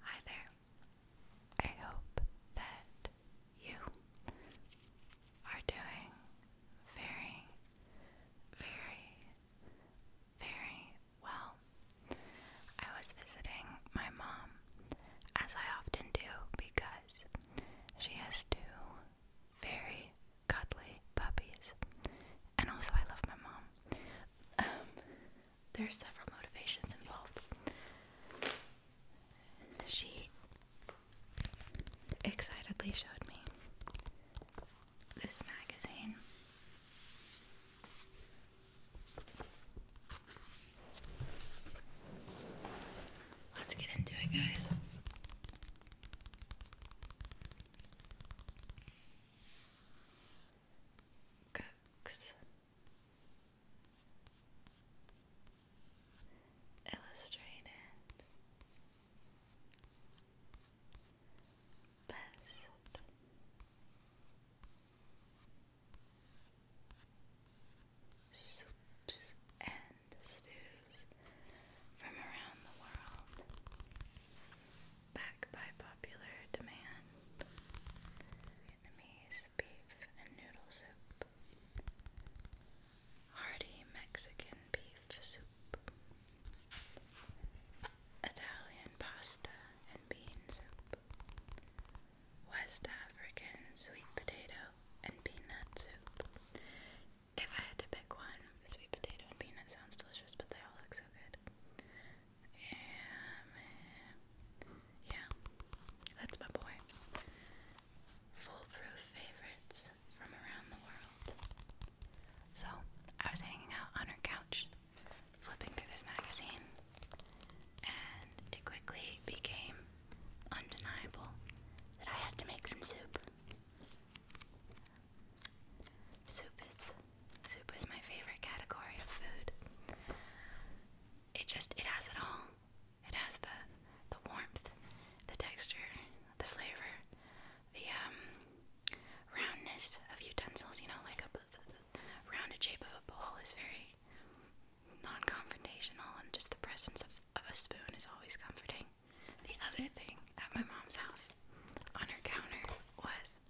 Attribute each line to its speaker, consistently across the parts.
Speaker 1: Hi there. I hope that you are doing very, very, very well. I was visiting my mom, as I often do, because she has two very cuddly puppies. And also, I love my mom. Um, there are several motivations involved. She excitedly showed me this magazine. Let's get into it, guys. Cooks. Illustrated Best Soups and stews from around the world back by popular demand. Vietnamese beef and noodle soup. Hearty Mexican beef soup. Italian pasta and bean soup. West African sweet potato and peanut soup. If I had to pick one, sweet potato and peanut sounds delicious, but they all look so good. Um, yeah, that's my boy. Foolproof favorites from around the world. So, I was hanging out on her couch, flipping through this magazine, and it quickly became undeniable that I had to make some soup. Soup is Soup is my favorite category of food. It just it has it all. It has the the warmth, the texture, the flavor, the um roundness of utensils. You know, like a rounded shape of a bowl is very non-confrontational, and just the presence of of a spoon is always comforting. The other thing at my mom's house on her counter was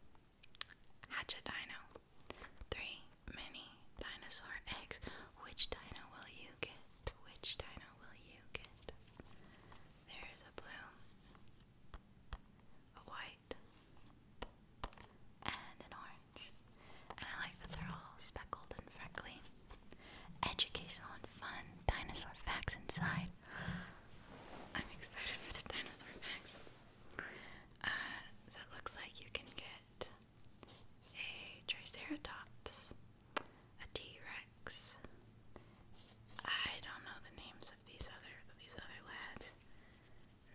Speaker 1: Hatch a dino. Three mini dinosaur eggs. Which dino will you get? Which dino will you get? There's a blue, a white, and an orange. And I like that they're all speckled and freckly. Educational and fun dinosaur facts inside. I'm excited for the dinosaur facts. Uh, so it looks like you can get a Triceratops, a T-Rex. I don't know the names of these other these other lads.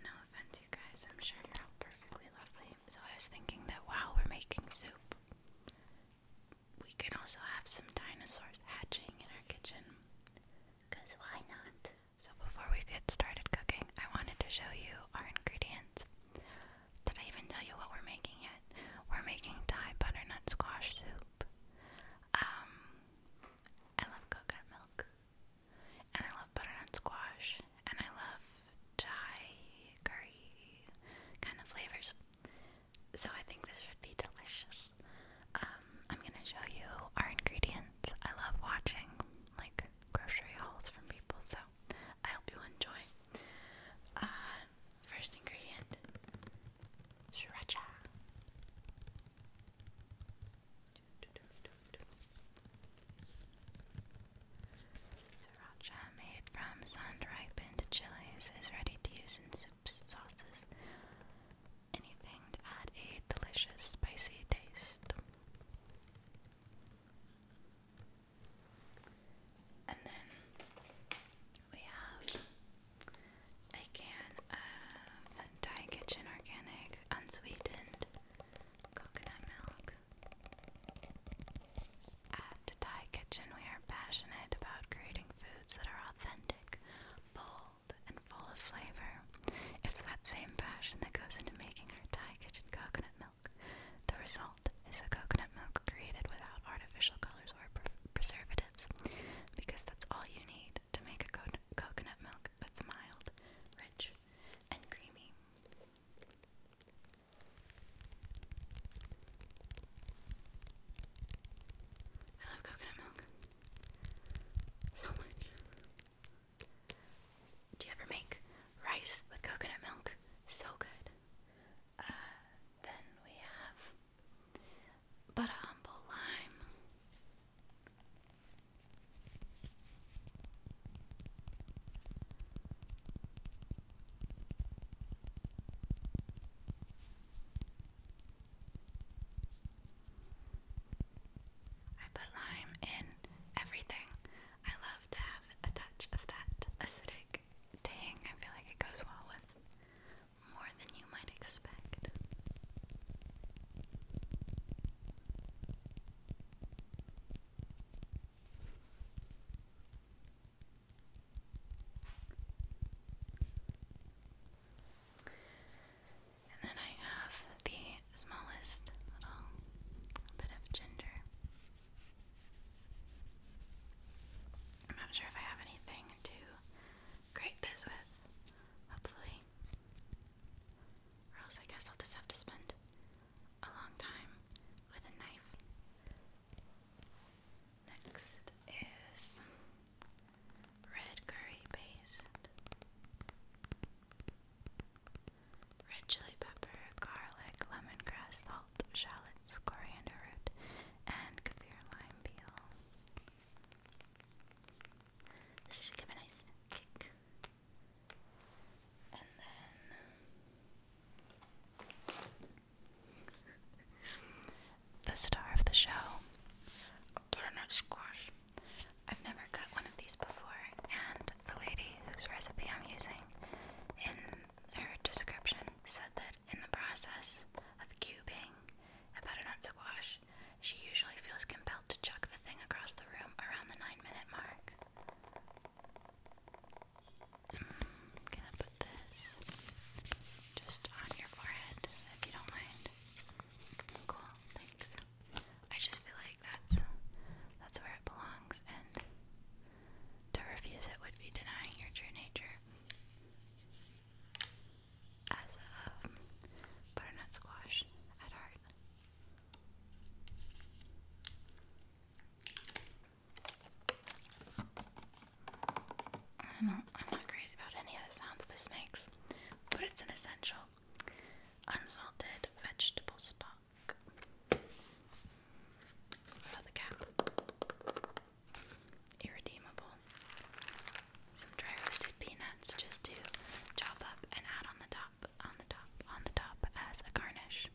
Speaker 1: No offense, you guys. I'm sure you're all perfectly lovely. So I was thinking that while we're making soup, we could also have some dinosaurs hatching in our kitchen. Cause why not? So before we get started cooking, I wanted to show you our ingredients. Did I even tell you what we're making yet? We're making Thai butternut squash soup. Um, I love coconut milk, and I love butternut squash, and I love Thai curry kind of flavors. So I think this should be delicious. Um, I'm gonna show you our ingredients. I love watching like grocery hauls from people, so I hope you enjoy. Uh, first ingredient, sriracha. Sriracha made from sun ripened chilies is ready to use in soups, sauces, anything to add a delicious spicy taste. And then we have a can of Thai Kitchen Organic Unsweetened Coconut Milk. At Thai Kitchen, we are passionate about creating foods that are authentic, bold, and full of flavor. It's that same passion that goes into making our Thai kitchen coconut milk. The result is a coconut milk created without artificial colors or preservatives, because that's all you need to make a coconut milk that's mild, rich, and creamy. I love coconut milk. So much. Do you ever make rice with coconut milk? So good. Uh, then we have butter humble lime. I put lime in everything. I love to have a touch of that acidic tang. I feel like it goes well with more than you might expect. And then I have the smallest little bit of ginger. I'm not sure if I have anything to grate this with, hopefully. Or else I guess I'll just have to spend a long time with a knife. Next is red curry paste, red chili pepper, garlic, lemongrass, salt, shallots, coriander root, and kaffir lime peel. This should give a nice kick. And then the star of the show. Butternut squash. I've never cut one of these before, and the lady whose recipe I'm using in her description said that in the process of cubing a butternut squash, she usually feels compelled to chuck the thing across the room around the nine minute mark. I'm mm, gonna put this just on your forehead if you don't mind. Cool, thanks. I just feel like that's that's where it belongs and to refuse it would be denying your true nature. As a butternut squash at heart. I'm not crazy about any of the sounds this makes, but it's an essential. Unsalted vegetable stock for the cap. Irredeemable. Some dry roasted peanuts just to chop up and add on the top, on the top, on the top as a garnish,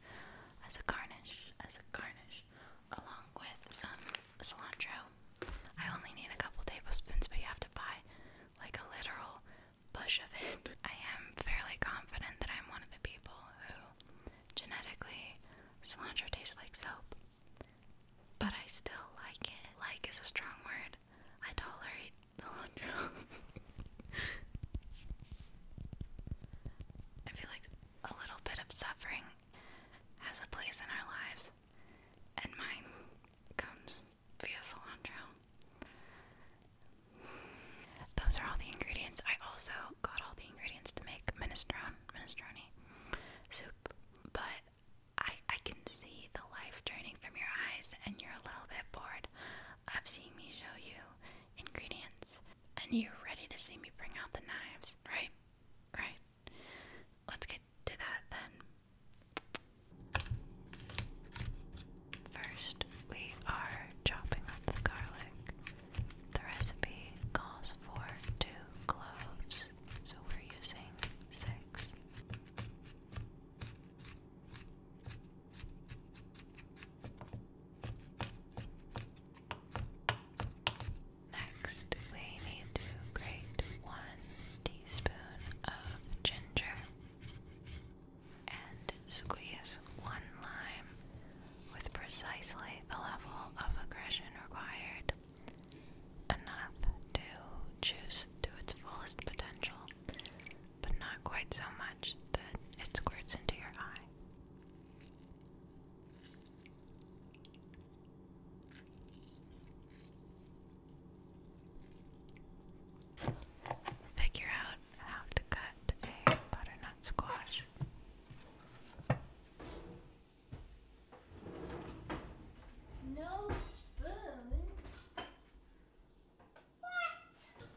Speaker 1: as a garnish, as a garnish, along with some cilantro I only need a couple tablespoons, but you have to buy like a literal bush of it. I am fairly confident that I'm one of the people who genetically cilantro tastes like soap, but I still like it. Like is a strong word. I tolerate cilantro. I feel like a little bit of suffering has a place in our lives and mine comes via cilantro. Those are all the ingredients. I also got all the ingredients to make minestrone, minestrone soup, but I I can see the life draining from your eyes, and you're a little bit bored of seeing me show you ingredients, and you're ready to see me bring out the knives, right? Right? let's get to that then. First, we are chopping up the garlic. The recipe calls for two cloves, so we're using six. Next, we need to grate one teaspoon of ginger and squeeze one lime with precisely the level of aggression required, enough to juice to its fullest potential, but not quite so much that it squirts into your eye. Figure out how to cut a butternut squash. No spoons. What?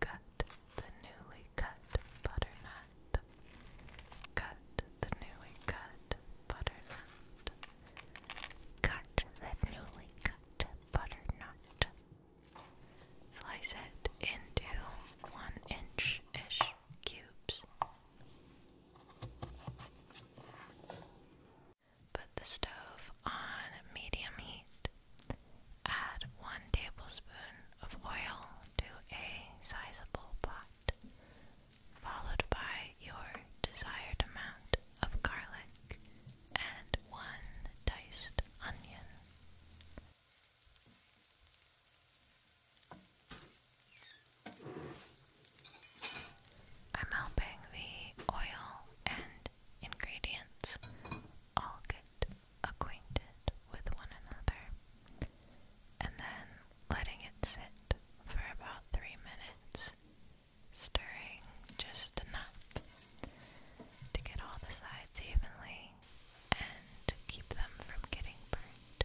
Speaker 1: Cut the newly cut butternut. Cut the newly cut butternut. Cut the newly cut butternut. Slice it into one inch ish cubes. Put the stove on medium heat. Add one tablespoon of oil to a sizable pot followed by your desired amount of garlic and one diced onion. I'm helping the oil and ingredients all get acquainted with one another and then letting it sit for about three minutes, stirring just enough to get all the sides evenly and to keep them from getting burnt.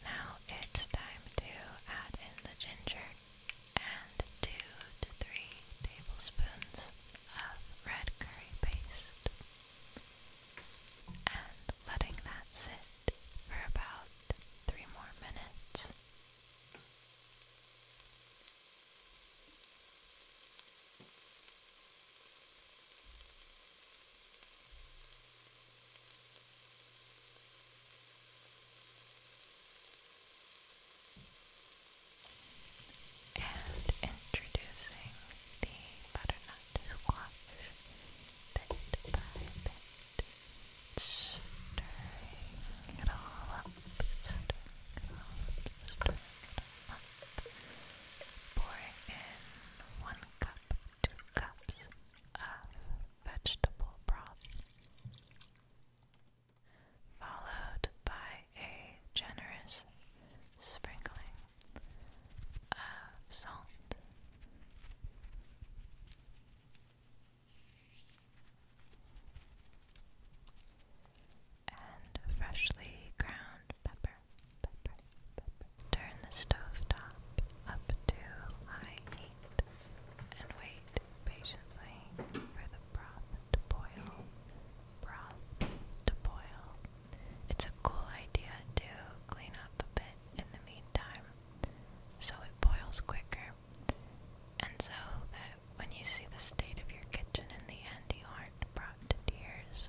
Speaker 1: Now it's time to add in the ginger and 2 to 3 tablespoons of red curry paste and letting that sit for about 3 more minutes. And introducing the butternut squash bit by bit, stirring it all up, stirring it all pour in one cup, two cups of vegetable broth, followed by a generous sprinkling of salt. And freshly ground pepper. Turn the stove top up to high heat and wait patiently for the broth to boil. Broth to boil. It's a cool idea to clean up a bit in the meantime so it boils quicker and so that when you see the state of your kitchen in the end you aren't brought to tears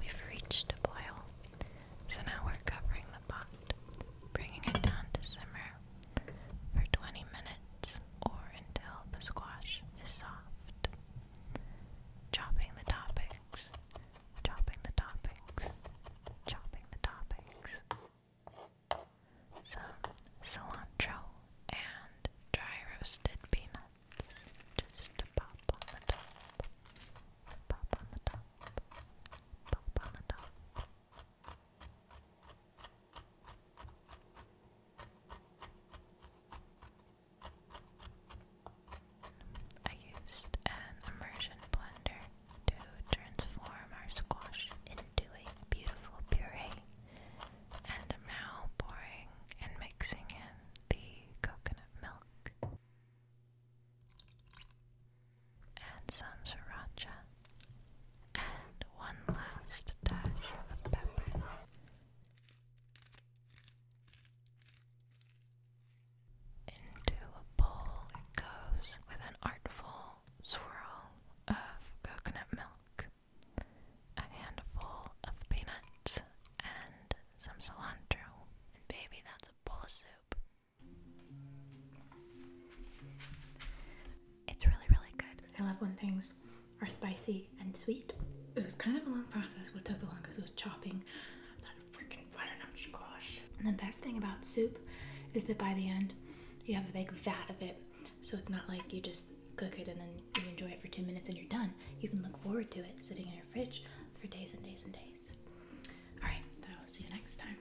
Speaker 1: We've reached a boil, so now we're covering the pot, bringing it down to simmer for 20 minutes or until the squash is soft. Chopping the toppings, chopping the toppings, chopping the toppings some cilantro and dry roasted peanuts just to pop on the top. Pop on the top. Pop on the top. I used an immersion blender to transform our squash into a beautiful puree, and now pouring and mixing in the coconut milk and some sriracha and one last dash of pepper. Into a bowl it goes with an artful swirl of coconut milk, a handful of peanuts, and some cilantro. And baby, that's a bowl of soup. It's really, really good. I love when things are spicy and sweet. It was kind of a long process. What took the longest was chopping that freaking butternut squash. the best thing about soup is that by the end, you have a big vat of it. So it's not like you just cook it and then you enjoy it for two minutes and you're done. You can look forward to it sitting in your fridge for days and days and days. All right, I'll see you next time.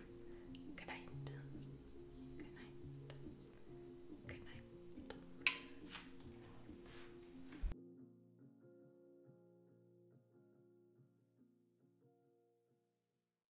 Speaker 1: Good night. Good night. Good night.